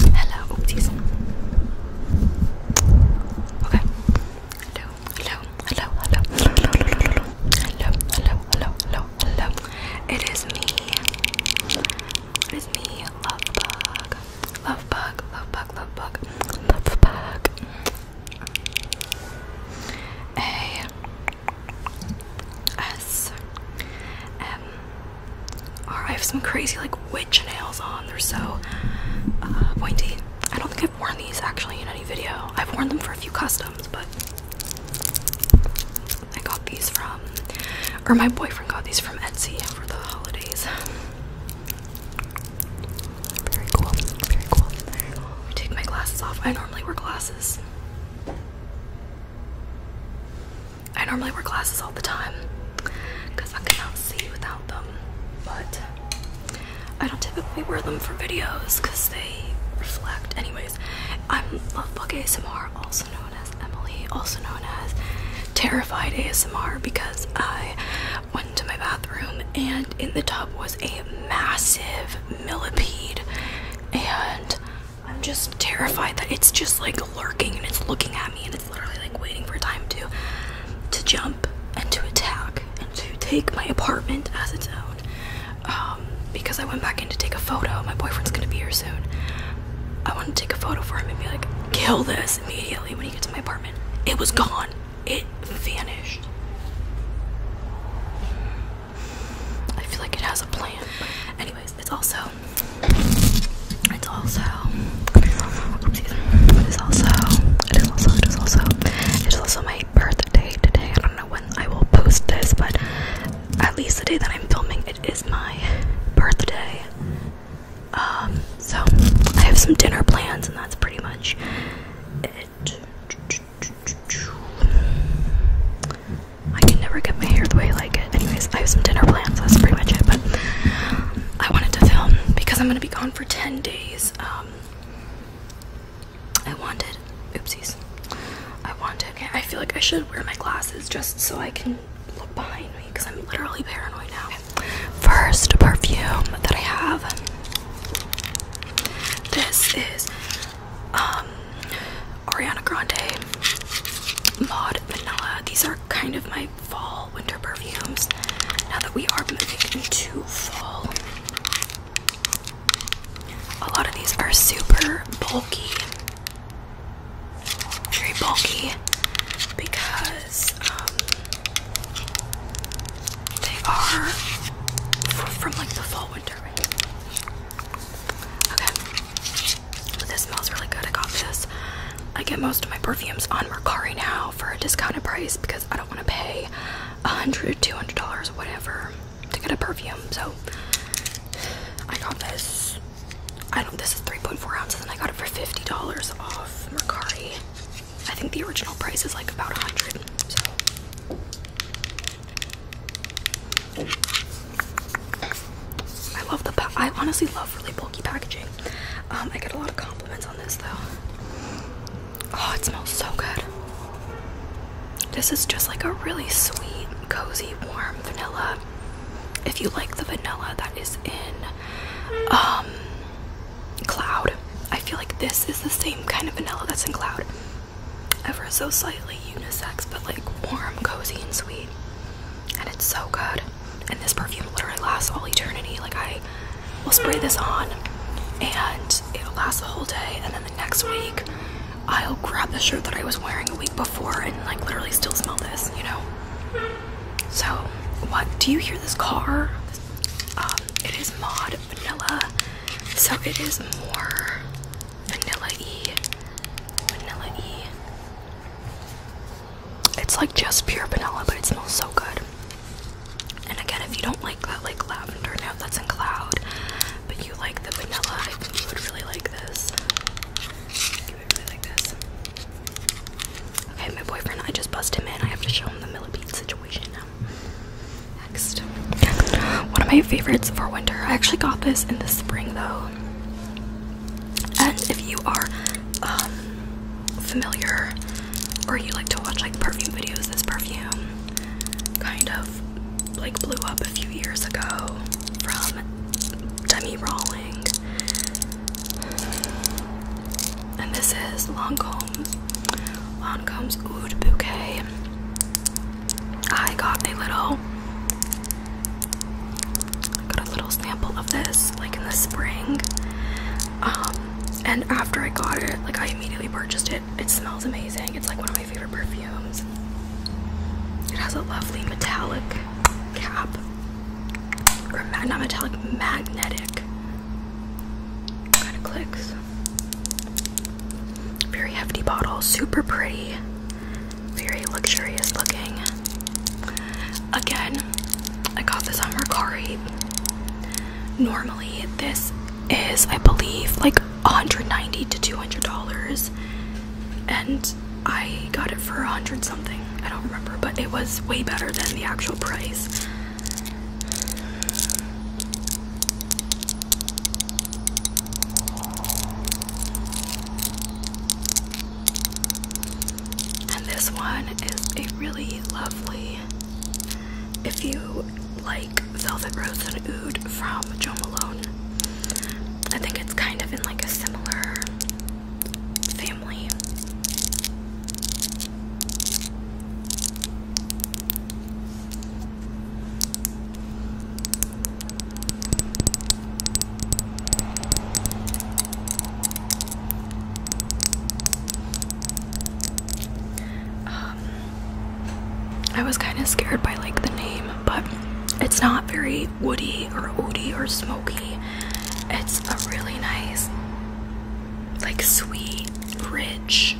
Hello, oopsies. Okay. hello, hello, hello, hello, hello, hello, hello, hello, hello, hello. It is me. It is me, love bug, love bug, love bug, love bug, love bug. A S M I have some crazy like witch nails on. They're so uh, pointy. I don't think I've worn these actually in any video. I've worn them for a few customs, but I got these from, or my boyfriend got these from Etsy for the holidays. Very cool. Very cool. take my glasses off. I normally wear glasses. I normally wear glasses all the time because I cannot see without them, but I don't typically wear them for videos because they reflect. Anyways, I'm Lovebug ASMR, also known as Emily, also known as Terrified ASMR, because I went to my bathroom and in the tub was a massive millipede, and I'm just terrified that it's just like lurking and it's looking at me and it's literally like waiting for time to to jump and to attack and to take my apartment as its own. Um, because I went back in to take a photo. My boyfriend's gonna be here soon. I want to take a photo for him and be like, kill this immediately when he gets to my apartment. It was gone. It vanished. I feel like it has a plan. Anyways, it's also it's also it is also it is also it is also it is also my birthday today. I don't know when I will post this, but at least the day that I'm filming it is my birthday. Um, so I have some dinner plans and that's pretty much it. I can never get my hair the way I like it. Anyways, I have some dinner plans. That's pretty much it. But I wanted to film because I'm gonna be gone for ten days. Um, I wanted. Oopsies. I wanted. Okay, I feel like I should wear my glasses just so I can look behind me because I'm literally paranoid now. First perfume that I have. This is um, Ariana Grande Maud Vanilla. These are kind of my fall winter perfumes. Now that we are moving into fall, a lot of these are super bulky, very bulky, because um, they are from like the fall winter range. Okay. This smells really good. I got this. I get most of my perfumes on Mercari now for a discounted price because I don't want to pay $100, $200, whatever to get a perfume. So I got this. I don't this is 3.4 ounces and I got it for $50 off Mercari. I think the original price is like about 100 So I love the I honestly love really bulky packaging. Um, I get a lot of compliments on this though. Oh, it smells so good. This is just like a really sweet, cozy, warm vanilla. If you like the vanilla that is in um, Cloud, I feel like this is the same kind of vanilla that's in Cloud ever so slightly unisex, but like warm, cozy, and sweet. And it's so good. And this perfume literally lasts all eternity. Like, I will spray this on and it'll last the whole day. And then the next week, I'll grab the shirt that I was wearing a week before and like literally still smell this, you know? So, what do you hear this car? Um, it is Mod Vanilla, so it is more vanilla E. Vanilla E. It's like just pure vanilla, but it smells so good. And again, if you don't like that like lavender now that's in cloud, but you like the vanilla, I think you would really like this. You would really like this. Okay, my boyfriend, I just bust him in. I have to show him the millipede situation now. Next, one of my favorites for winter. I actually got this in the spring though. And if you are um, familiar or you like to watch like perfume videos, this perfume kind of like blew up a few years ago from Demi Rawling. And this is Lancome's Lancome's Oud Bouquet. I got a little got a little sample of this like in the spring. Um, and after I got it, like I immediately purchased it. It smells amazing. It's like one of my favorite perfumes. It has a lovely metallic cap. Or not metallic, magnetic kind of clicks. Very hefty bottle, super pretty, very luxurious looking. Again, I got this on Mercari. Normally, this is, I believe, like 190 to 200 dollars, and I got it for 100 something. I don't remember, but it was way better than the actual price. And this one is a really lovely, if you like Velvet Rose and Ood from Joe Malone, I think it's kind of in like a similar family. Um, I was kind of scared by like the name, but it's not very woody or oaty or smoky. It's a really nice, like sweet, rich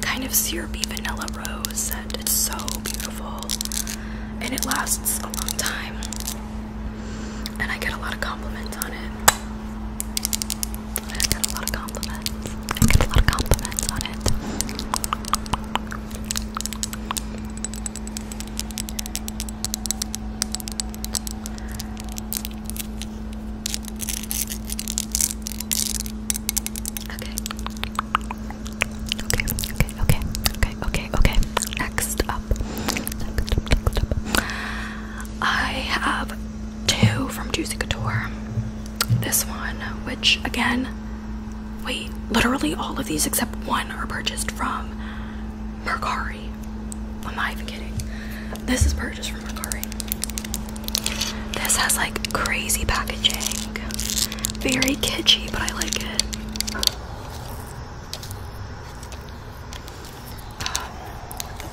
kind of syrupy vanilla rose scent. It's so beautiful and it lasts a long time. And I get a lot of compliments on it. I get a lot of compliments. I get a lot of compliments on it. Okay. Okay, okay, okay, okay, okay, okay. Next up. next up. I have two from Juicy Couture. This one, which again, wait, literally all of these except one are purchased from Mercari am I even kidding. This is purchased from Mercari. This has like crazy packaging. Very kitschy, but I like it.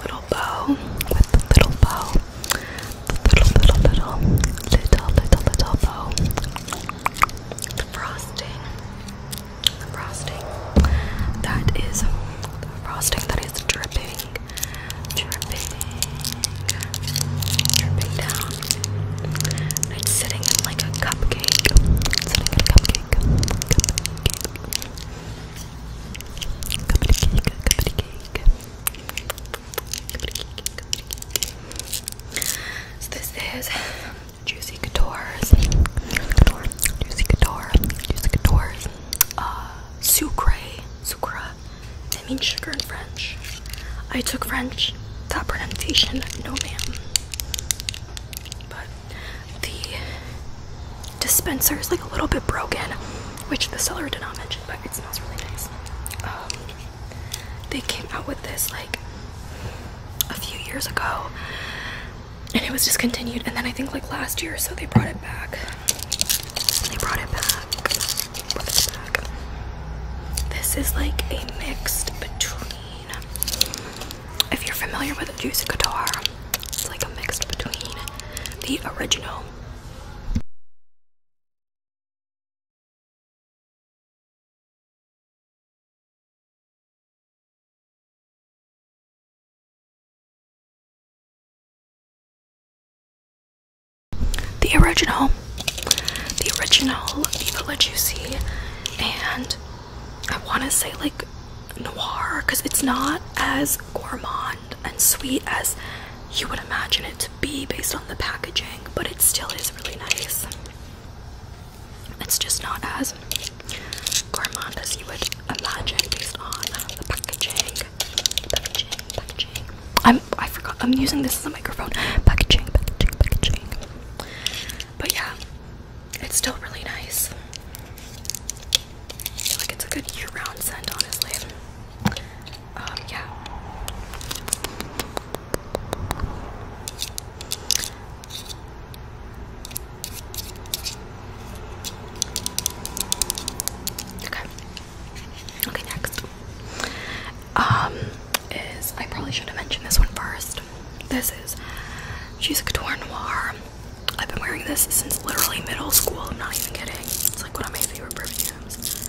little bow. With the little bow. The little, little, little, little, little, little bow. The frosting. The frosting. That is frosting that is dripping, dripping, dripping down. it's sitting in like a cupcake. It's sitting in a cupcake. Cupcake. Cupcake. Cupcake. Cupcake. So this is Juicy Couture's. Juicy Couture. Juicy Couture's. Uh, sucre, sucre, sucra. That means sugar in French. I took French. That pronunciation, no ma'am. But the dispenser is like a little bit broken, which the seller did not mention, but it smells really nice. Um, they came out with this like a few years ago, and it was discontinued and then i think like last year so they brought it back they brought it back, this is like a mixed between if you're familiar with the juice guitar it's like a mixed between the original the original, the original Viva La Juicy, and I want to say like noir because it's not as gourmand and sweet as you would imagine it to be based on the packaging, but it still is really nice. It's just not as gourmand you would imagine based on the packaging. Packaging, packaging. I'm, I forgot, I'm using this as a microphone. Packaging, packaging, packaging. But yeah, it's still really nice. like it's a good year round scent, honestly. Um, yeah. Okay. Okay, next. Um, is I probably should have mentioned this one first. This is she's a couture noir. I've been wearing this since literally middle school. I'm not even kidding. It's like one of my favorite perfumes.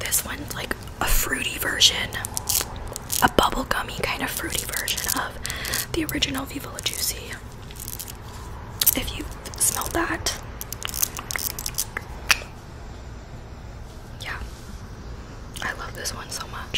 This one's like a fruity version, a bubblegummy kind of fruity version of the original Viva Juicy. If you smell that, yeah, I love this one so much.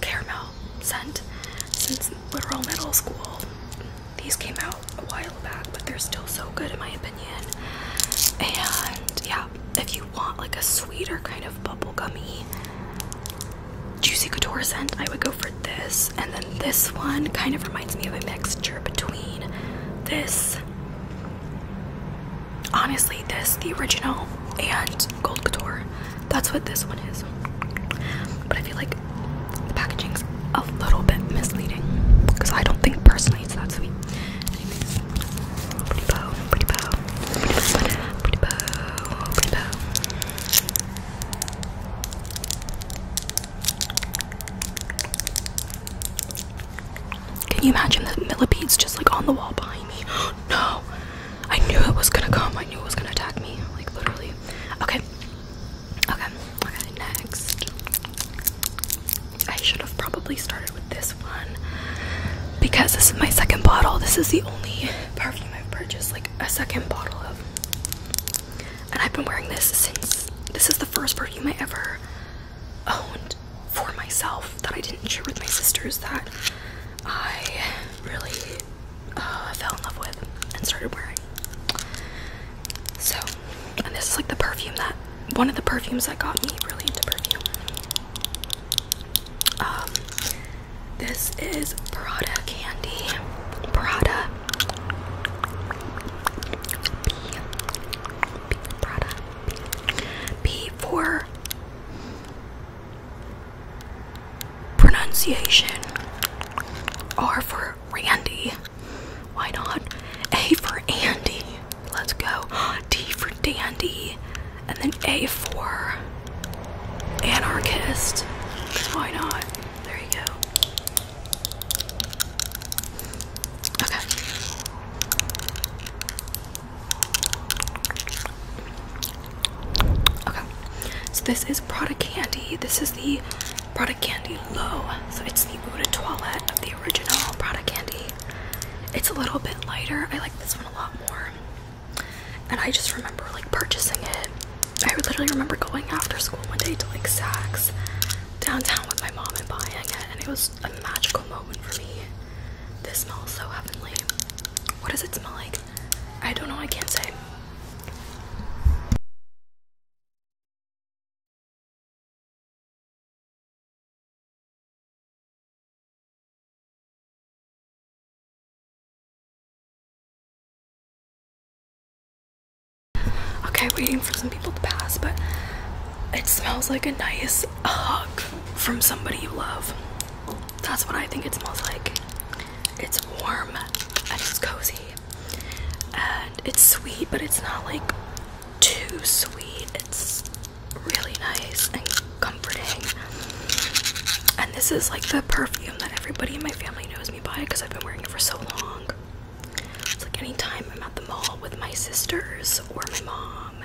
caramel scent since literal middle school. These came out a while back, but they're still so good in my opinion. And yeah, if you want like a sweeter kind of bubblegummy juicy couture scent, I would go for this. And then this one kind of reminds me of a mixture between this honestly this the original and gold couture that's what this one is. But I feel like the packaging's a little bit misleading because I don't think personally it's that sweet. Can you imagine the millipedes just like on the wall behind me? no, I knew it was gonna come. I knew it was gonna attack me. Like literally. Okay. Okay. Okay. Next. I should have probably started with this one because this is my second bottle. This is the only perfume I've purchased, like a second bottle of. And I've been wearing this since this is the first perfume I ever owned for myself that I didn't share with my sisters that I really uh, fell in love with and started wearing. So, and this is like the perfume that one of the perfumes that got me really into perfume. Um, this is Prada Candy. Prada. B. Prada. B. for pronunciation. R for Randy. Why not? A for Andy. Let's go. D for Dandy. And then A for Anarchist. Why not? There you go. Okay. Okay, so this is Prada Candy. This is the Prada Candy Low. So it's the Eau de Toilette of the original Prada Candy. It's a little bit lighter. I like this one a lot more. And I just remember like purchasing it. I literally remember going after school one day to like Saks downtown with my mom and buying it, and it was a magical moment for me. This smells so heavenly. What does it smell like? I don't know, I can't say. Okay, waiting for some people to pass, but it smells like a nice hug from somebody you love. That's what I think it smells like. It's warm and it's cozy. And it's sweet, but it's not like too sweet. It's really nice and comforting. And this is like the perfume that everybody in my family knows me by because I've been wearing it for so long. It's like anytime I'm at the mall with my sisters or my mom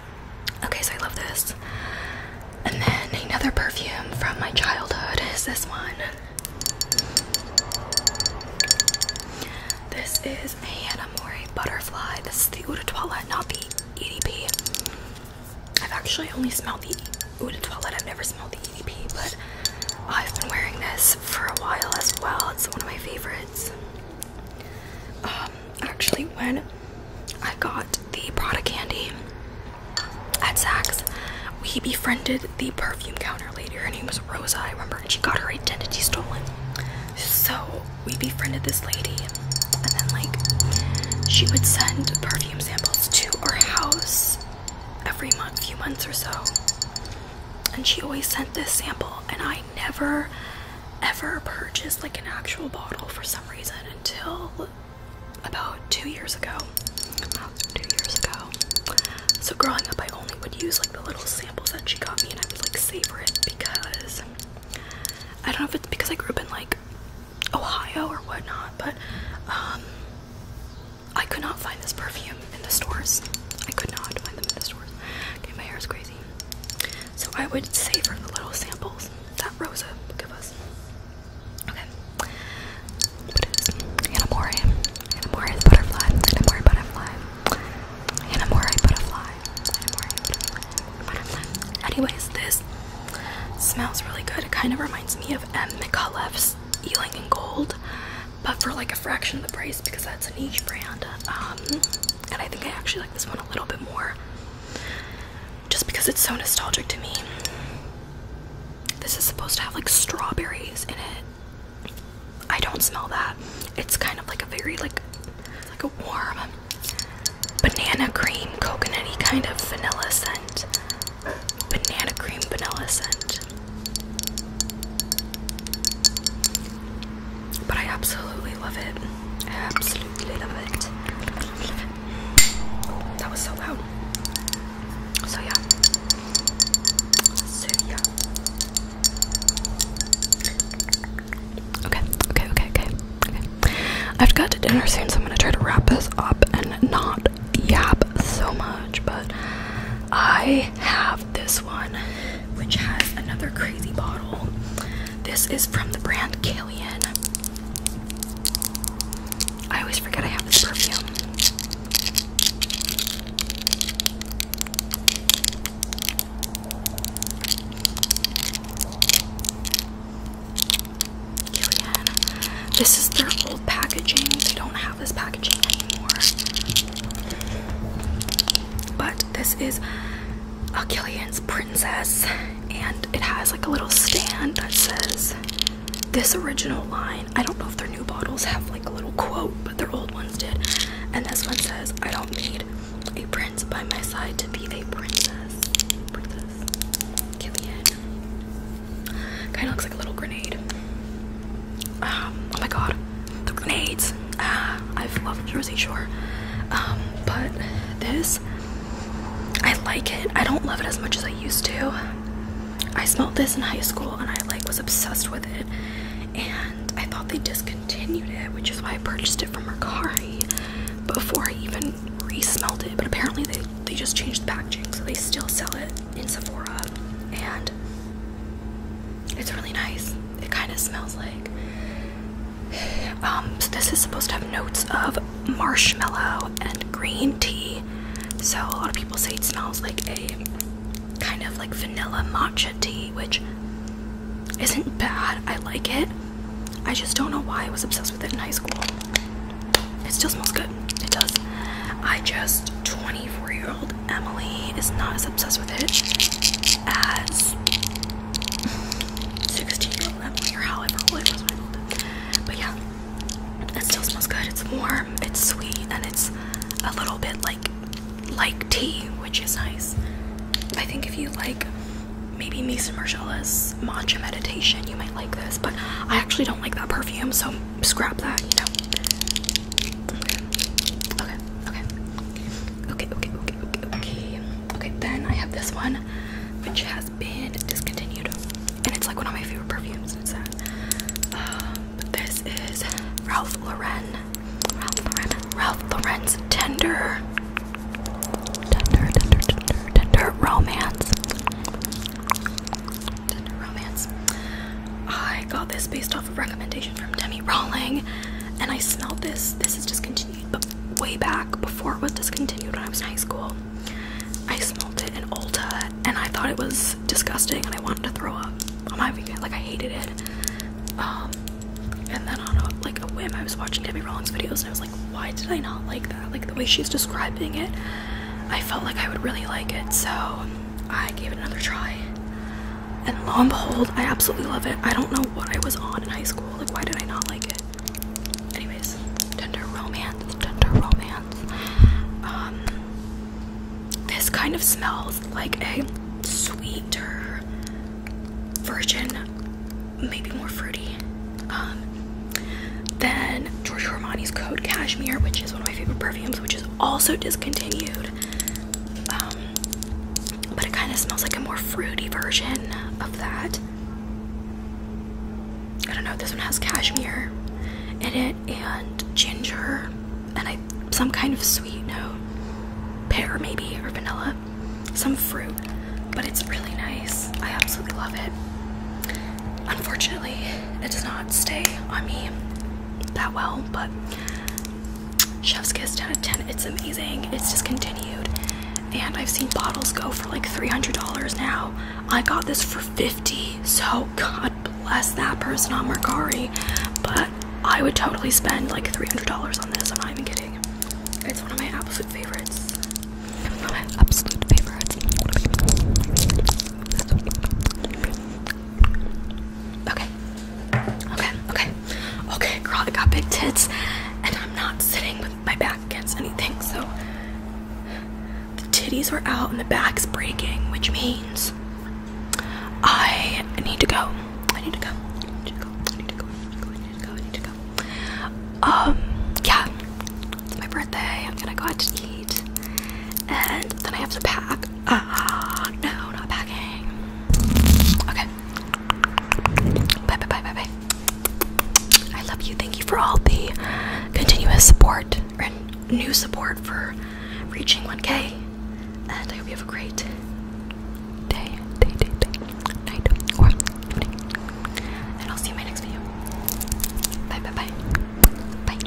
Okay, so I love this. And then another perfume from my childhood is this one. This is a Hannah Mori Butterfly. This is the Eau de Toilette, not the EDP. I've actually only smelled the Eau de Toilette. I've never smelled the EDP, but I've been wearing this for a while as well. It's one of my favorites. Um, actually when I got the Prada candy at Saks, we befriended the perfume counter lady. Her name was Rosa, I remember, and she got her identity stolen. So we befriended this lady, and then like she would send perfume samples to our house every month, few months or so. And she always sent this sample, and I never ever purchased like an actual bottle for some reason until about two years ago. So growing up, I only would use like the little samples that she got me, and I would like savor it because I don't know if it's because I grew up in like Ohio or whatnot, but um, I could not find this perfume in the stores. I could not find them in the stores. Okay, my hair is crazy. So I would savor the little samples that Rosa gave us. Okay. What is Hanamori? butterfly. Hanamori butterfly. Hanamori butterfly. Anyways, this smells really good. It kind of reminds me of M. McAuliffe's Ealing and Gold, but for like a fraction of the price because that's a niche brand. Um, and I think I actually like this one a little bit more just because it's so nostalgic to me. This is supposed to have like strawberries in it. I don't smell that. It's kind of like a very like like a warm banana cream, coconutty kind of vanilla scent. Banana cream vanilla scent. But I absolutely love it. I absolutely love it. That was so loud. So yeah. So yeah. Okay, okay, okay, okay. Okay. I've got to dinner soon, so I'm gonna try to wrap this up and not yap so much, but I have this one, which has another crazy bottle. This is from the brand Kalian. I always forget I have this perfume. Kalian. This is their old packaging. They don't have this packaging anymore. But this is Achillian's Princess, and it has like a little stand that says this original line. I don't know if their new bottles have like a little quote, but their old ones did. And this one says, I don't need a prince by my side to be a princess. Princess. Kind of looks like a little grenade. Um, oh my god the grenades. Ah, I've loved Jersey Shore, um, but this I like it. I don't love it as much as I used to. I smelled this in high school and I like was obsessed with it, and I thought they discontinued it, which is why I purchased it from Mercari before I even resmelled it. But apparently they they just changed the packaging, so they still sell it in Sephora and it's really nice. It kind of smells like. Um, so this is supposed to have notes of marshmallow and green tea. So a lot of people say it smells like a kind of like vanilla matcha tea, which isn't bad. I like it. I just don't know why I was obsessed with it in high school. It still smells good. It does. I just 24 year Emily is not as obsessed with it as 16 year old Emily or however old it was when I old. But yeah, it still smells good. It's warm, it's sweet, and it's a little bit like like tea, which is nice. I think if you like maybe Mason Margiela's matcha meditation, you might like this, but I actually don't like that perfume, so scrap that, you know. Okay. Okay, okay, okay, okay, okay. Okay, then I have this one, which has been discontinued. And it's like one of my favorite perfumes, it's Uh, but um, this is Ralph Lauren. Ralph Lauren. Ralph Lauren's Tender. Tender, tender, tender, tender romance. Tender romance. I got this based off recommendation from Demi Rawling, and I smelled this. This is discontinued, but way back before it was discontinued when I was in high school. I smelled it in Ulta, and I thought it was disgusting, and I wanted to throw up on my weekend. Like I hated it. Um, and then on a, like a whim, I was watching Demi Rawling's videos, and I was like, why did I not like that? Like the way she's describing it, I felt like I would really like it, so I gave it another try and lo and behold, I absolutely love it. I don't know what I was on in high school. Like, why did I not like it? Anyways, tender romance, tender romance. Um, this kind of smells like a sweeter version, maybe more fruity. Um, then Giorgio Armani's Code Cashmere, which is one of my favorite perfumes, which is also discontinued. Um, but it kind of smells like a more fruity version of that. I don't know. This one has cashmere in it and ginger and some kind of sweet note, pear maybe or vanilla, some fruit. But it's really nice. I absolutely love it. Unfortunately, it does not stay on me that well, but Chef's Kiss 10 out of 10. It's amazing. It's discontinued. And I've seen bottles go for like $300 now. I got this for 50 so God bless that person on Mercari. But I would totally spend like $300 on this. I'm not even kidding. It's one of my absolute favorites. One of my absolute favorites. Okay. Okay. Okay. Okay, girl, I got big tits and I'm not sitting with my back against anything, so the titties are out and the back's breaking, which means I need to go. I need to go. I need to go. I need to go. I need to go. I need to go. Um, yeah. It's my birthday. I'm gonna go out to eat and then I have to pack. Ah, no, not packing. Okay. Bye, bye, bye, bye, bye. I love you. Thank you for all the continuous support and new support for reaching 1K. And I hope you have a great day, day, day, day, night, or evening. And I'll see you in my next video. Bye, bye, bye. Bye.